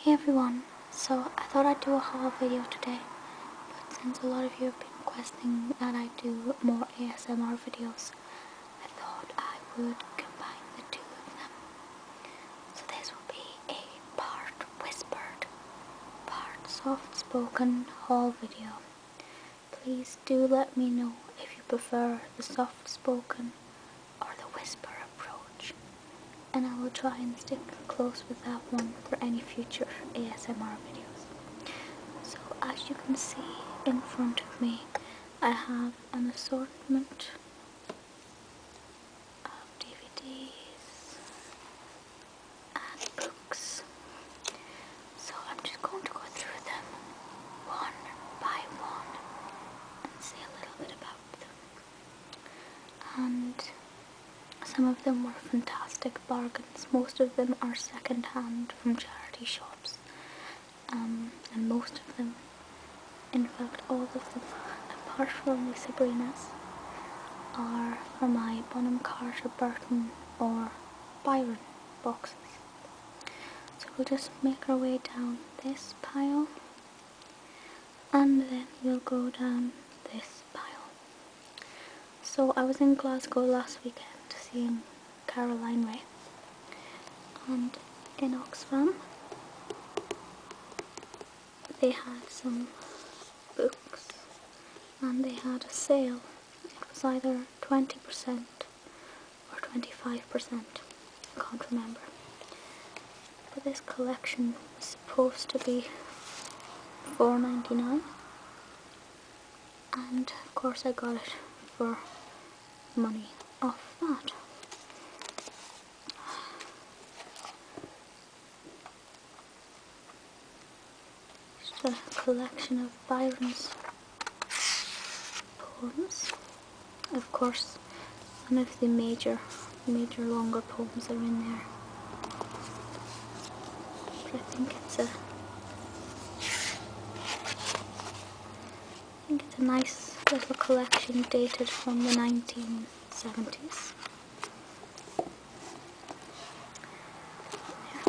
Hey everyone, so I thought I'd do a haul video today, but since a lot of you have been requesting that I do more ASMR videos, I thought I would combine the two of them. So this will be a part whispered, part soft spoken haul video. Please do let me know if you prefer the soft spoken or the whisper approach, and I will try and stick close with that one for any future ASMR videos. So as you can see in front of me, I have an assortment of DVDs and books. So I'm just going to go through them one by one and say a little bit about them and some of them were fantastic bargains. Most of them are second hand from charity shops, um, and most of them, in fact, all of them, apart from the Sabrina's, are from my Bonham Carter Burton or Byron boxes. So we'll just make our way down this pile and then we'll go down this pile. So I was in Glasgow last weekend seeing Caroline Ray and in Oxfam they had some books and they had a sale. It was either 20% or 25%. I can't remember. But this collection was supposed to be 4.99, and of course I got it for money off that. It's a collection of violence, poems of course one of the major major longer poems are in there but I think it's a I think it's a nice little collection dated from the 1970s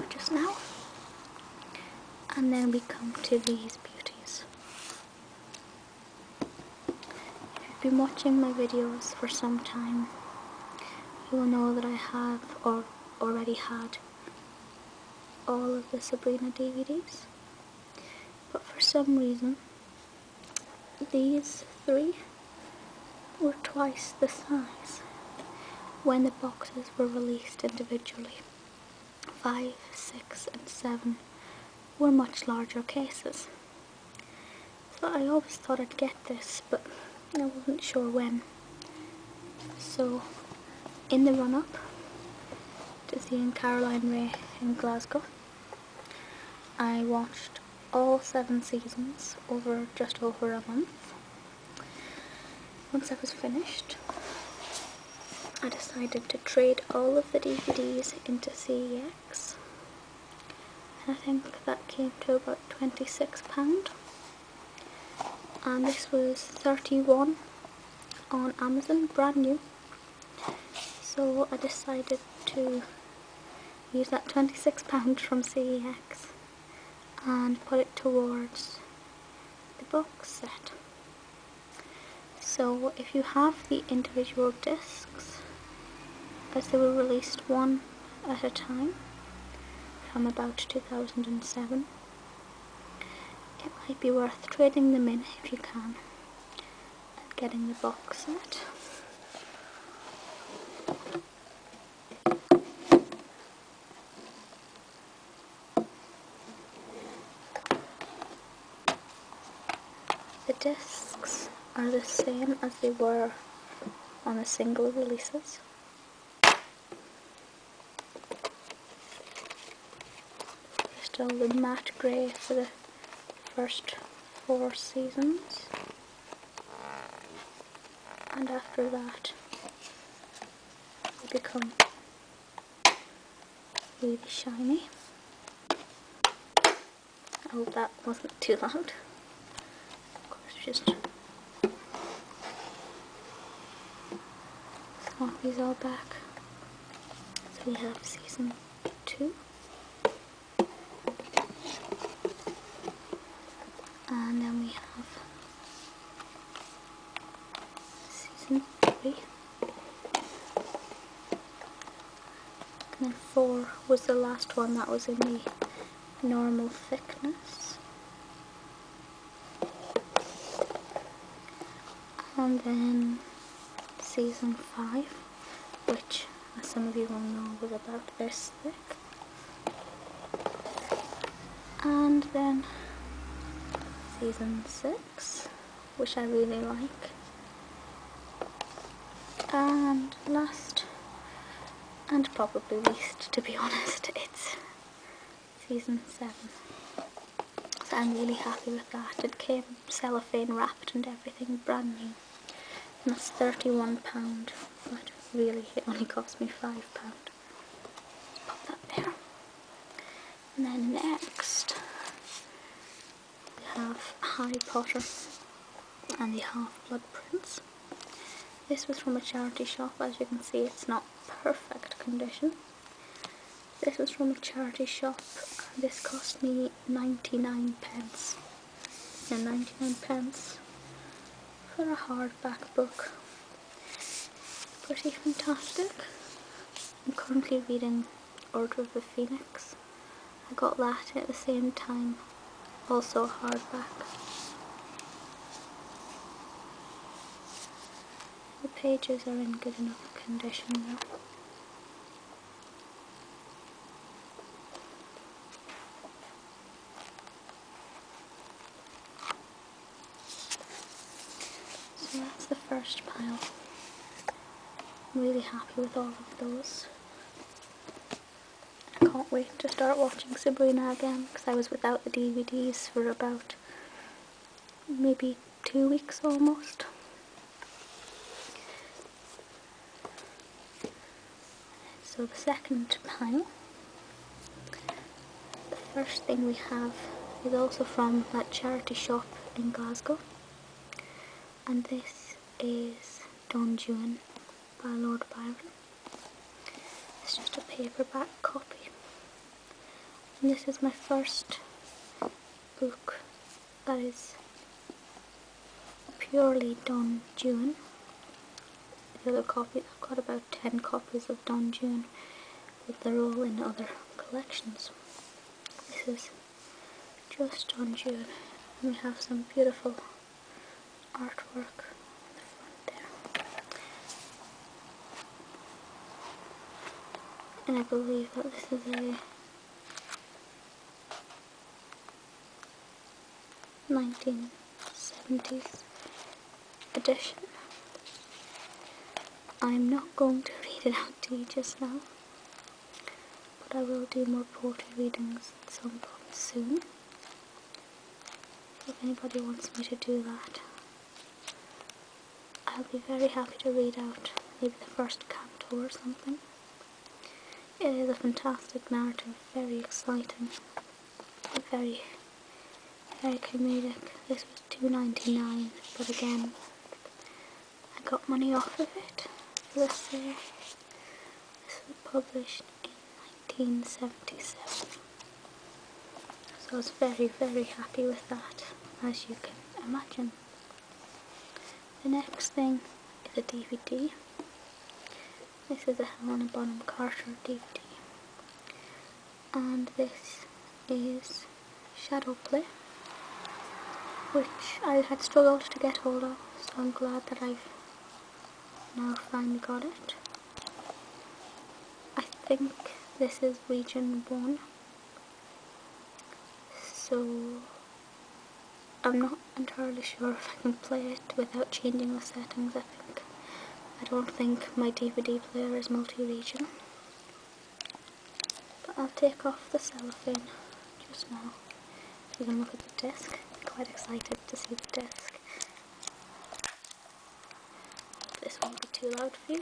just now and then we come to these beauties if you've been watching my videos for some time, you will know that I have or already had all of the Sabrina DVDs. But for some reason, these three were twice the size when the boxes were released individually. 5, 6 and 7 were much larger cases. So I always thought I'd get this, but I wasn't sure when. So, in the run-up to seeing Caroline Ray in Glasgow, I watched all seven seasons over just over a month. Once I was finished, I decided to trade all of the DVDs into CEX and I think that came to about £26 and this was 31 on Amazon, brand new so I decided to use that £26 from CEX and put it towards the book set so if you have the individual discs, as they were released one at a time from about 2007, it might be worth trading them in if you can and getting the box set. The discs are the same as they were on the single releases. Still the matte grey for the first four seasons. And after that, they become really shiny. I oh, hope that wasn't too loud. Of course, just swap these all back. So we have season two. And then we have season three. And then 4 was the last one that was in the normal thickness. And then season 5, which as some of you will know was about this thick. And then season 6 which I really like and last and probably least to be honest it's season 7 I'm really happy with that it came cellophane wrapped and everything brand new and that's £31 but really it only cost me £5 pop that there and then next we have Harry Potter and the Half-Blood Prince. This was from a charity shop. As you can see, it's not perfect condition. This was from a charity shop. This cost me 99 pence. 99 pence for a hardback book. Pretty fantastic. I'm currently reading Order of the Phoenix. I got that at the same time, also hardback. The pages are in good enough condition though. So that's the first pile. I'm really happy with all of those. I can't wait to start watching Sabrina again because I was without the DVDs for about maybe two weeks almost. So the second pile, the first thing we have is also from that charity shop in Glasgow and this is Don Juan by Lord Byron. It's just a paperback copy. this is my first book that is purely Don Juan. The other copy, I've got about 10 copies of Don Juan, but they're all in other collections. This is just on June. And we have some beautiful artwork on the front there. And I believe that this is a 1970s edition. I'm not going to read it out to you just now. But I will do more poetry readings at some soon. If anybody wants me to do that, I'll be very happy to read out maybe the first canto or something. It is a fantastic narrative, very exciting, very, very comedic. This was 2.99, but again, I got money off of it. This there, uh, this was published in 1977. So I was very, very happy with that, as you can imagine. The next thing is a DVD. This is a Helena Bonham Carter DVD. And this is shadow play which I had struggled to get hold of so I'm glad that I've now finally got it I think this is region 1 so I'm not entirely sure if I can play it without changing the settings I think I don't think my DVD player is multi-region but I'll take off the cellophane just now. You can look at the disk quite excited to see the disc. This won't be too loud for you.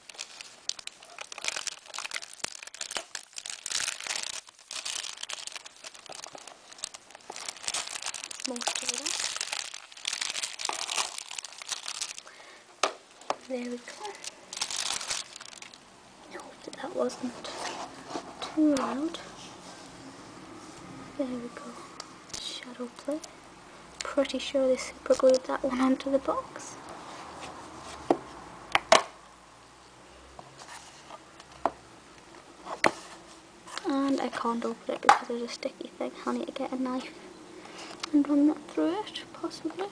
my soda. There we go. I hope that, that wasn't too loud. There we go. Shadow play. Pretty sure they super glued that one onto the box. And I can't open it because there's a sticky thing. I get a knife and run that through it, possibly.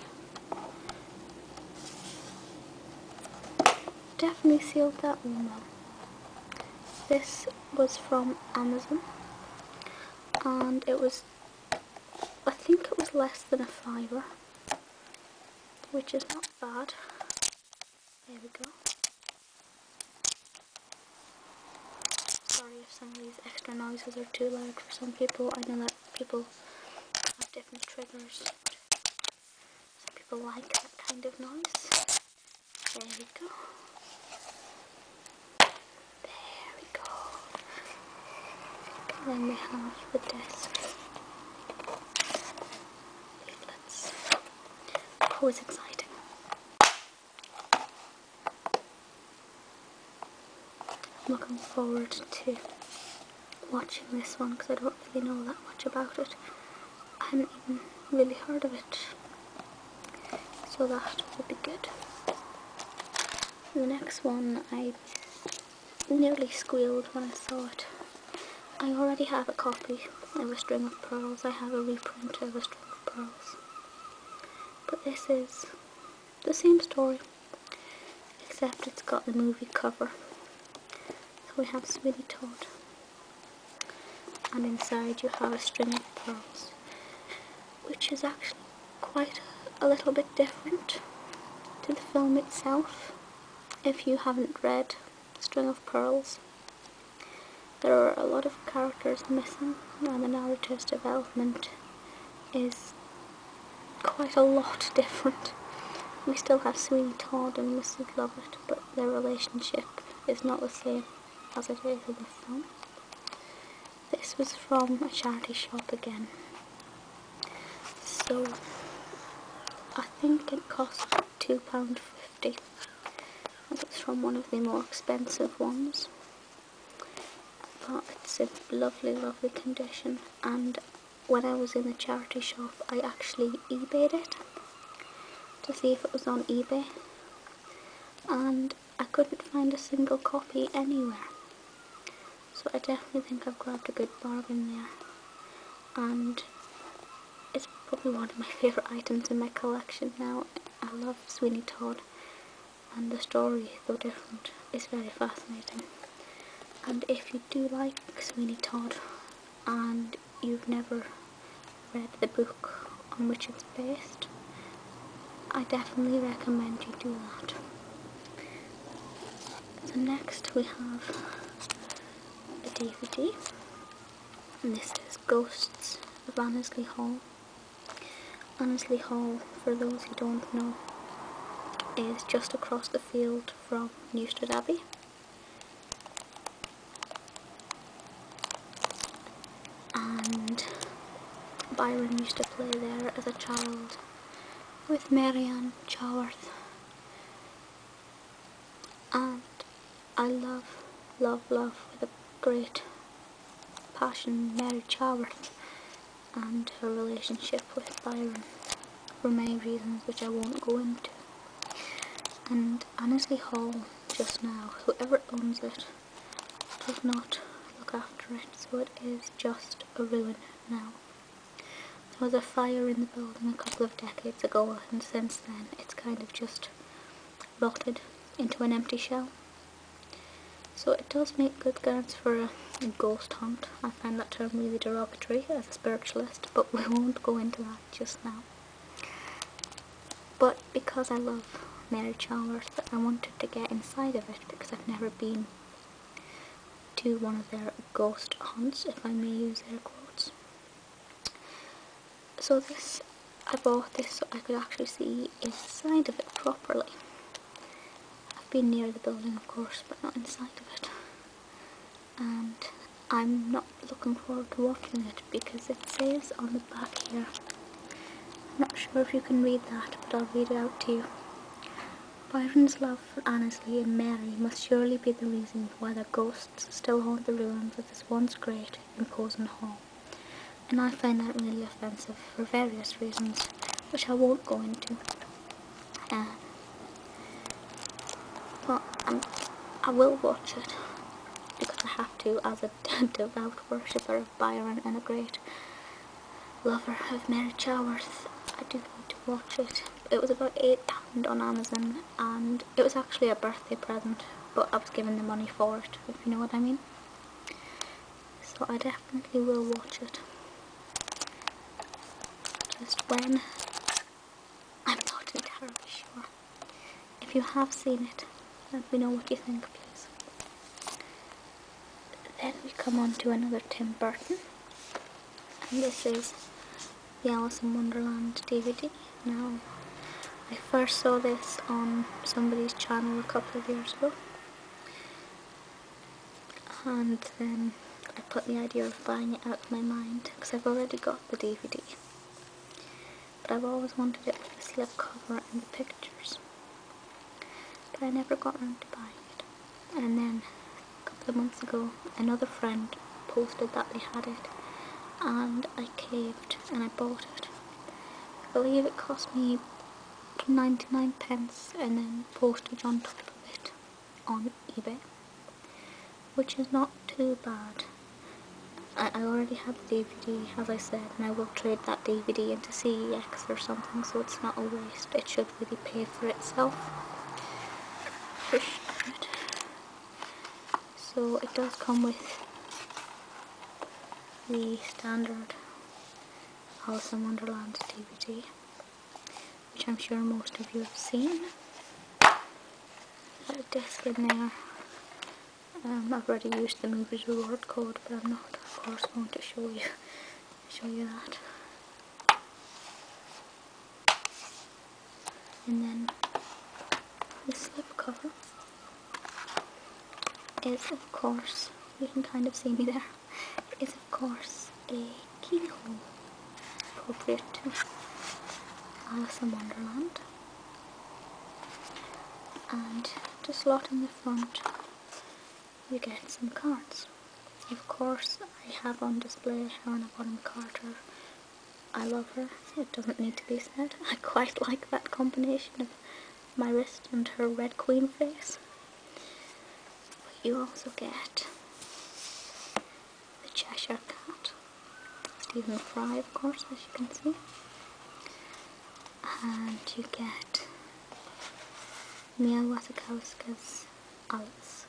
Definitely sealed that well. This was from Amazon and it was, I think it was less than a fiver which is not bad. There we go. Sorry if some of these extra noises are too loud for some people. I know that people have different triggers. Some people like that kind of noise. There we go. There we go. And then we have the desk. That's always exciting. I'm looking forward to watching this one because I don't really know that much about it. I haven't even really heard of it. So that will be good. The next one I nearly squealed when I saw it. I already have a copy of A String of Pearls. I have a reprint of A String of Pearls. But this is the same story, except it's got the movie cover. So we have Sweeney Todd. And inside you have a string of pearls, which is actually quite a, little bit different to the film itself if you haven't read String of Pearls. There are a lot of characters missing and the narrative's development is quite a lot different. We still have Sweet Todd and Mrs. Lovett, but their relationship is not the same as it is in the film this was from a charity shop again so I think it cost £2.50 it's from one of the more expensive ones but it's in lovely lovely condition and when I was in the charity shop I actually eBayed it to see if it was on eBay and I couldn't find a single copy anywhere so I definitely think I've grabbed a good bargain there. And it's probably one of my favourite items in my collection now. I love Sweeney Todd and the story, though different, is very fascinating. And if you do like Sweeney Todd and you've never read the book on which it's based, I definitely recommend you do that. So next we have a DVD and this is Ghosts of Annesley Hall. Annesley Hall, for those who don't know, is just across the field from Newstead Abbey. And Byron used to play there as a child with Marianne Chaworth. And I love, love, love with a great passion Mary Chaworth and her relationship with Byron for many reasons which I won't go into. And Annesley Hall just now, whoever owns it does not look after it, so it is just a ruin now. There was a fire in the building a couple of decades ago and since then it's kind of just rotted into an empty shell. So it does make good grounds for a ghost hunt. I find that term really derogatory as a spiritualist, but we won't go into that just now. But because I love Mary Chalmers, I wanted to get inside of it because I've never been to one of their ghost hunts, if I may use their quotes. So this, I bought this so I could actually see inside of it properly. I've been near the building of course, but not inside of it. And I'm not looking forward to watching it because it says on the back here. I'm not sure if you can read that, but I'll read it out to you. Byron's love for Annesley and Mary must surely be the reason why the ghosts still haunt the ruins of this once great, imposing hall. And I find that really offensive for various reasons, which I won't go into. Uh, but um, I will watch it, because I have to as a devout worshipper of Byron and a great lover of Mary Chaworth. I do need to watch it. It was about £8 on Amazon and it was actually a birthday present but I was given the money for it if you know what I mean. So I definitely will watch it. Just when, I'm not entirely sure. If you have seen it, let me know what you think please. Then we come on to another Tim Burton. And this is the Alice in Wonderland DVD. Now, I first saw this on somebody's channel a couple of years ago. And then I put the idea of buying it out of my mind because I've already got the DVD. But I've always wanted it with the slip cover and the pictures. But I never got round to buying it. And then a couple of months ago, another friend posted that they had it. And I caved and I bought it. I believe it cost me 99 pence and then postage on top of it on eBay. Which is not too bad. I, already have the DVD, as I said, and I will trade that DVD into CEX or something, so it's not a waste it should really pay for itself so it does come with the standard Alice in Wonderland DVD which I'm sure most of you have seen a disc in there um, I've already used the movie's reward code but I'm not of course going to show you show you that. And then the slip cover is of course, you can kind of see me there, is of course a keyhole appropriate to Alice in Wonderland. And just lot in the front you get some cards. Of course, I have on display Helena Bonham Carter. I love her, it doesn't need to be said. I quite like that combination of my wrist and her Red Queen face. But you also get the Cheshire Cat. Stephen Fry, of course, as you can see and you get Mia Wasikowska's Alice.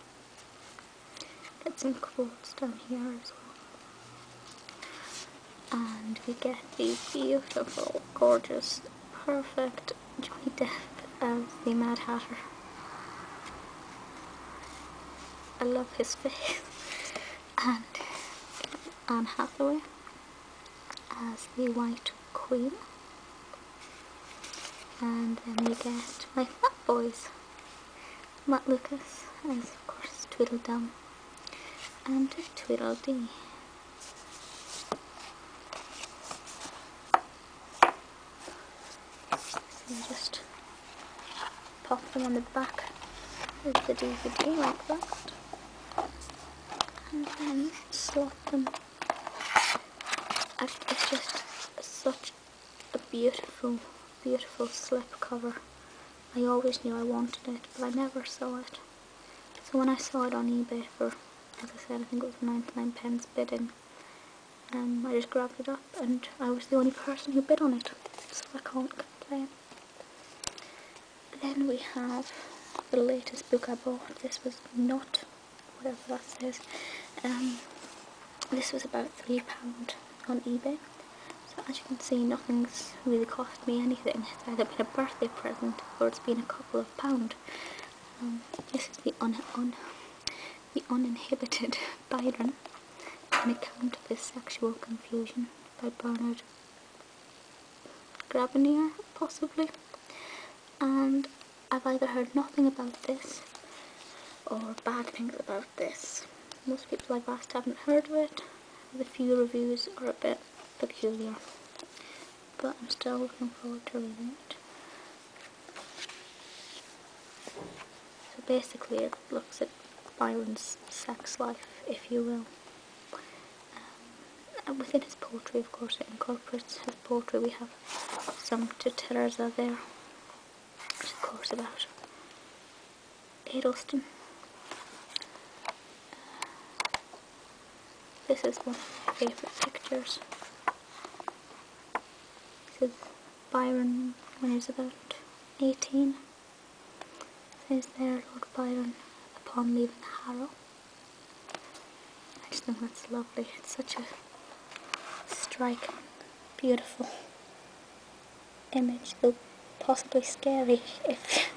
Get some quotes down here as well. And we get the beautiful, gorgeous, perfect Johnny Depp as the Mad Hatter. I love his face. And Anne Hathaway as the White Queen. And then we get my flat boys, Matt Lucas as of course Tweedledum and Tweedledee. So just pop them on the back of the DVD like that and then slot them it's just such a beautiful, beautiful slipcover. I always knew I wanted it, but I never saw it. So when I saw it on eBay for, as I said, I think it was 99 pence bidding, um, I just grabbed it up and I was the only person who bid on it, so I can't complain. Then we have the latest book I bought. This was not whatever that is. Um, this was about £3 on eBay. So as you can see, nothing's really cost me anything. It's either been a birthday present or it's been a couple of pound. Um, this is the un, the uninhibited Byron, an account of his sexual confusion by Bernard Gravenir, possibly and I've either heard nothing about this or bad things about this. Most people I've asked haven't heard of it. The few reviews are a bit peculiar, but I'm still looking forward to reading it. So basically it looks at violence, sex life, if you will. Um, within his poetry, of course, it incorporates his poetry. We have some to Teresa there, which of course about Edelston. Uh, this is one of my favourite pictures. This is Byron when he's about 18. It says there, Lord Byron, upon leaving Harrow. I just think that's lovely. It's such a striking, beautiful image, though possibly scary if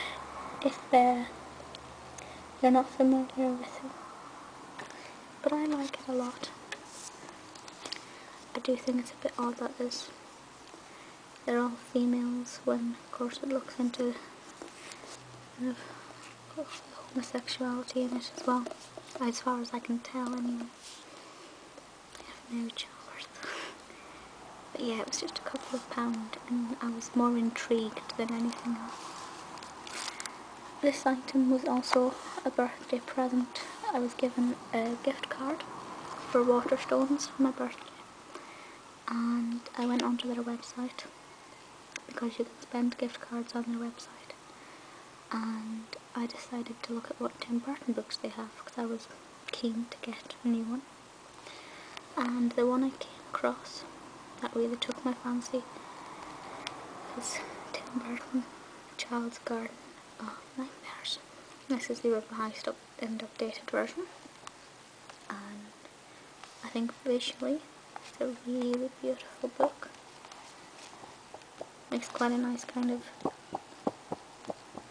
if you're not familiar with it. But I like it a lot. I do think it's a bit odd that there's they're all females when of course it looks into kind of homosexuality in it as well, as far as I can tell anyway. I have no children. but yeah, it was just a couple of pounds, and I was more intrigued than anything else. This item was also a birthday present. I was given a gift card for Waterstones for my birthday and I went onto their website because you can spend gift cards on their website. And I decided to look at what Tim Burton books they have because I was keen to get a new one. And the one I came across that really took my fancy is Tim Burton, Child's Garden of Nightmares. This is the revised and updated version and I think visually it's a really beautiful book. Makes quite a nice kind of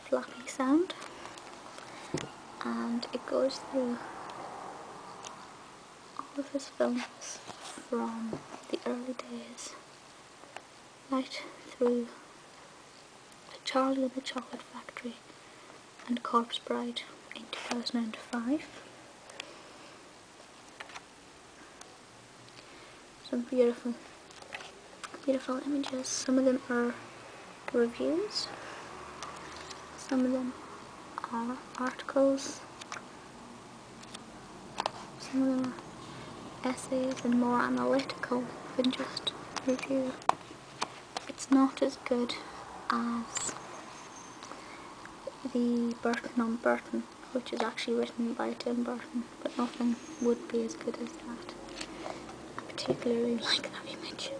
flappy sound and it goes through all of his films from the early days right through to Charlie and the Chocolate Factory and Corpse Bride in 2005. Some beautiful, beautiful images. Some of them are reviews, some of them are articles, some of them are essays and more analytical than just review it's not as good as the Burton on Burton which is actually written by Tim Burton but nothing would be as good as that. I particularly like that image.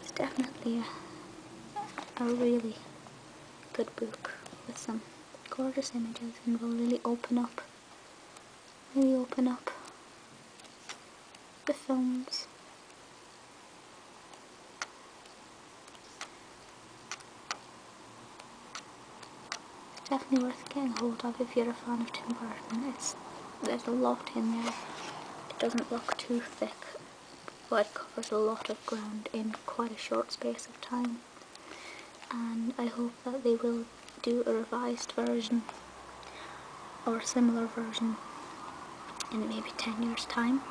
It's definitely a, a really good book with some gorgeous images and will really open up really open up the films. Definitely worth getting hold of if you're a fan of Tim Burton. It's, there's a lot in there. It doesn't look too thick, but it covers a lot of ground in quite a short space of time. And I hope that they will do a revised version or a similar version in maybe 10 years time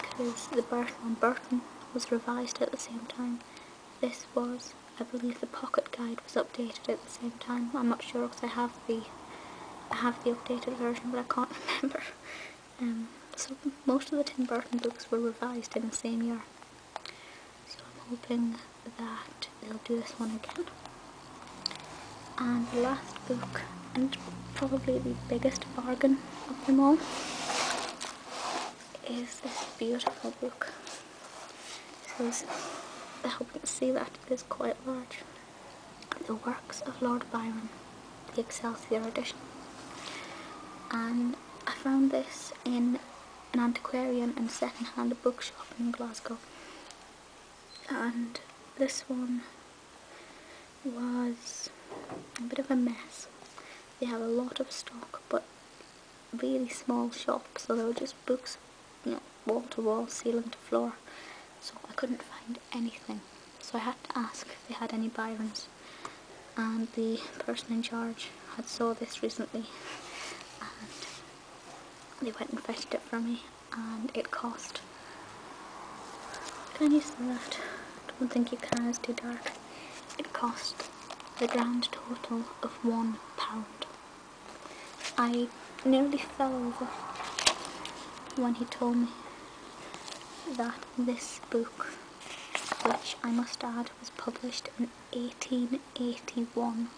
because the Burton & Burton was revised at the same time. This was, I believe the pocket guide was updated at the same time. I'm not sure because I have the have the updated version but I can't remember. Um, so most of the Tim Burton books were revised in the same year. So I'm hoping that they'll do this one again and the last book and probably the biggest bargain of them all is this beautiful book this I hope you can see that it is quite large the works of Lord Byron the Excelsior edition and I found this in an antiquarian and second-hand bookshop in Glasgow and this one was a bit of a mess. They have a lot of stock but really small shop, so there were just books you know wall to wall, ceiling to floor so I couldn't find anything so I had to ask if they had any Byrons and the person in charge had saw this recently and they went and fetched it for me and it cost can you see that? I don't think you can, it's too dark. It cost the grand total of one pound. I nearly fell over when he told me that this book, which I must add was published in 1881,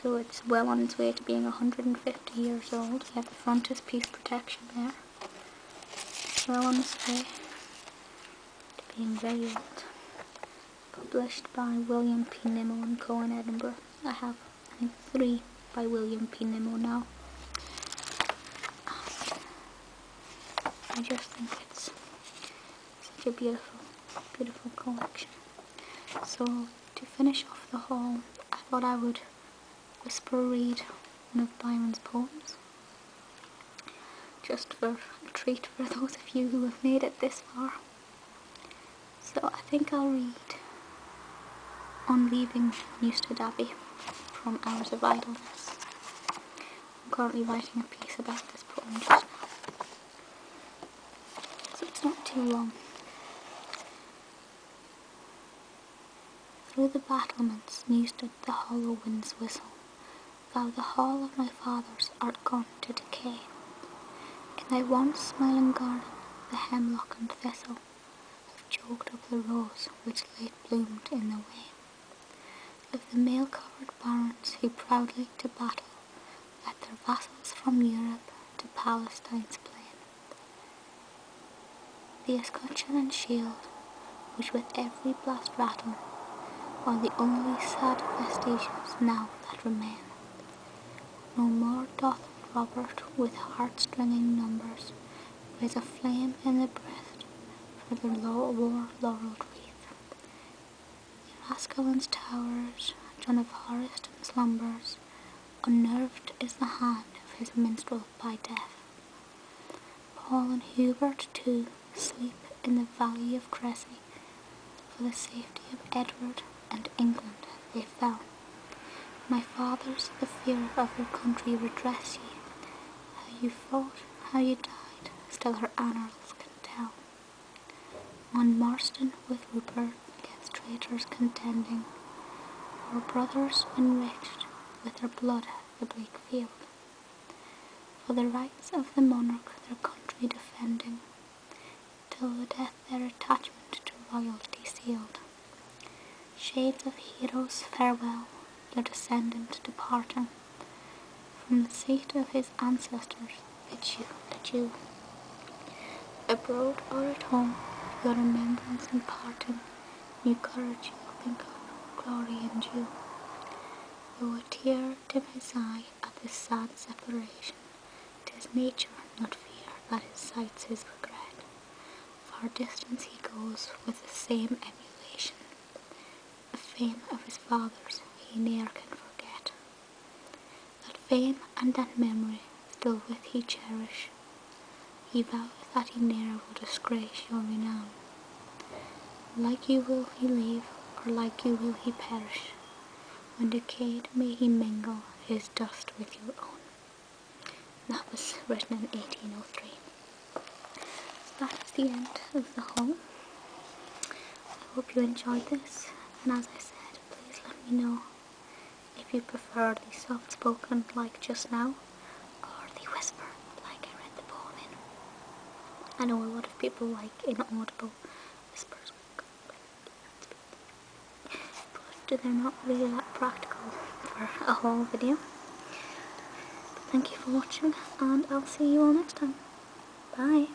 so it's well on its way to being 150 years old. You have the frontispiece protection there. well on its way to being very old. Published by William P. Nimmo and Co. in Edinburgh. I have, I think, three by William P. Nimmo now. I just think it's such a beautiful, beautiful collection. So to finish off the haul, I thought I would whisper read one of Byron's poems. Just for a treat for those of you who have made it this far. So I think I'll read On Leaving Newstead Abbey from Hours of Idleness. I'm currently writing a piece about this poem it's not too long. Through the battlements new stood the hollow wind's whistle, thou the hall of my fathers art gone to decay. In thy once smiling garden the hemlock and thistle have choked up the rose which late bloomed in the way. Of the mail-covered barons who proudly to battle led their vassals from Europe to Palestine's plain. The escutcheon and shield, which with every blast rattle, are the only sad vestiges now that remain. No more doth Robert with heart-stringing numbers raise a flame in the breast for the low war laureled wreath. The Erascalon's towers, John of Horiston's slumbers, Unnerved is the hand of his minstrel by death. Paul and Hubert too sleep in the valley of Crecy, For the safety of Edward and England they fell. My fathers, the fear of your country redress ye. How you fought, how you died, still her annals can tell. On Marston with Rupert against traitors contending, Our brothers enriched with their blood the bleak field, For the rights of the monarch their country defending, Till the death their attachment to royalty sealed. Shades of heroes farewell, your descendant departing, From the seat of his ancestors let you, let you. Abroad or at home, your remembrance imparting, pardon, new courage, open glory and you. Though a tear dim his eye at this sad separation, 'tis nature, not fear, that incites his regret. Far distance he goes with the same emulation, the fame of his fathers he ne'er can forget that fame and that memory still therewith he cherish. He voweth that he ne'er will disgrace your renown. Like you will he leave, or like you will he perish. When decayed may he mingle his dust with your own. That was written in 1803. that is the end of the whole. I hope you enjoyed this, and as I said, please let me know if you prefer the soft-spoken like just now, or the whisper like I read the poem in. I know a lot of people like inaudible whispers, but they're not really that practical for a whole video. thank you for watching, and I'll see you all next time. Bye!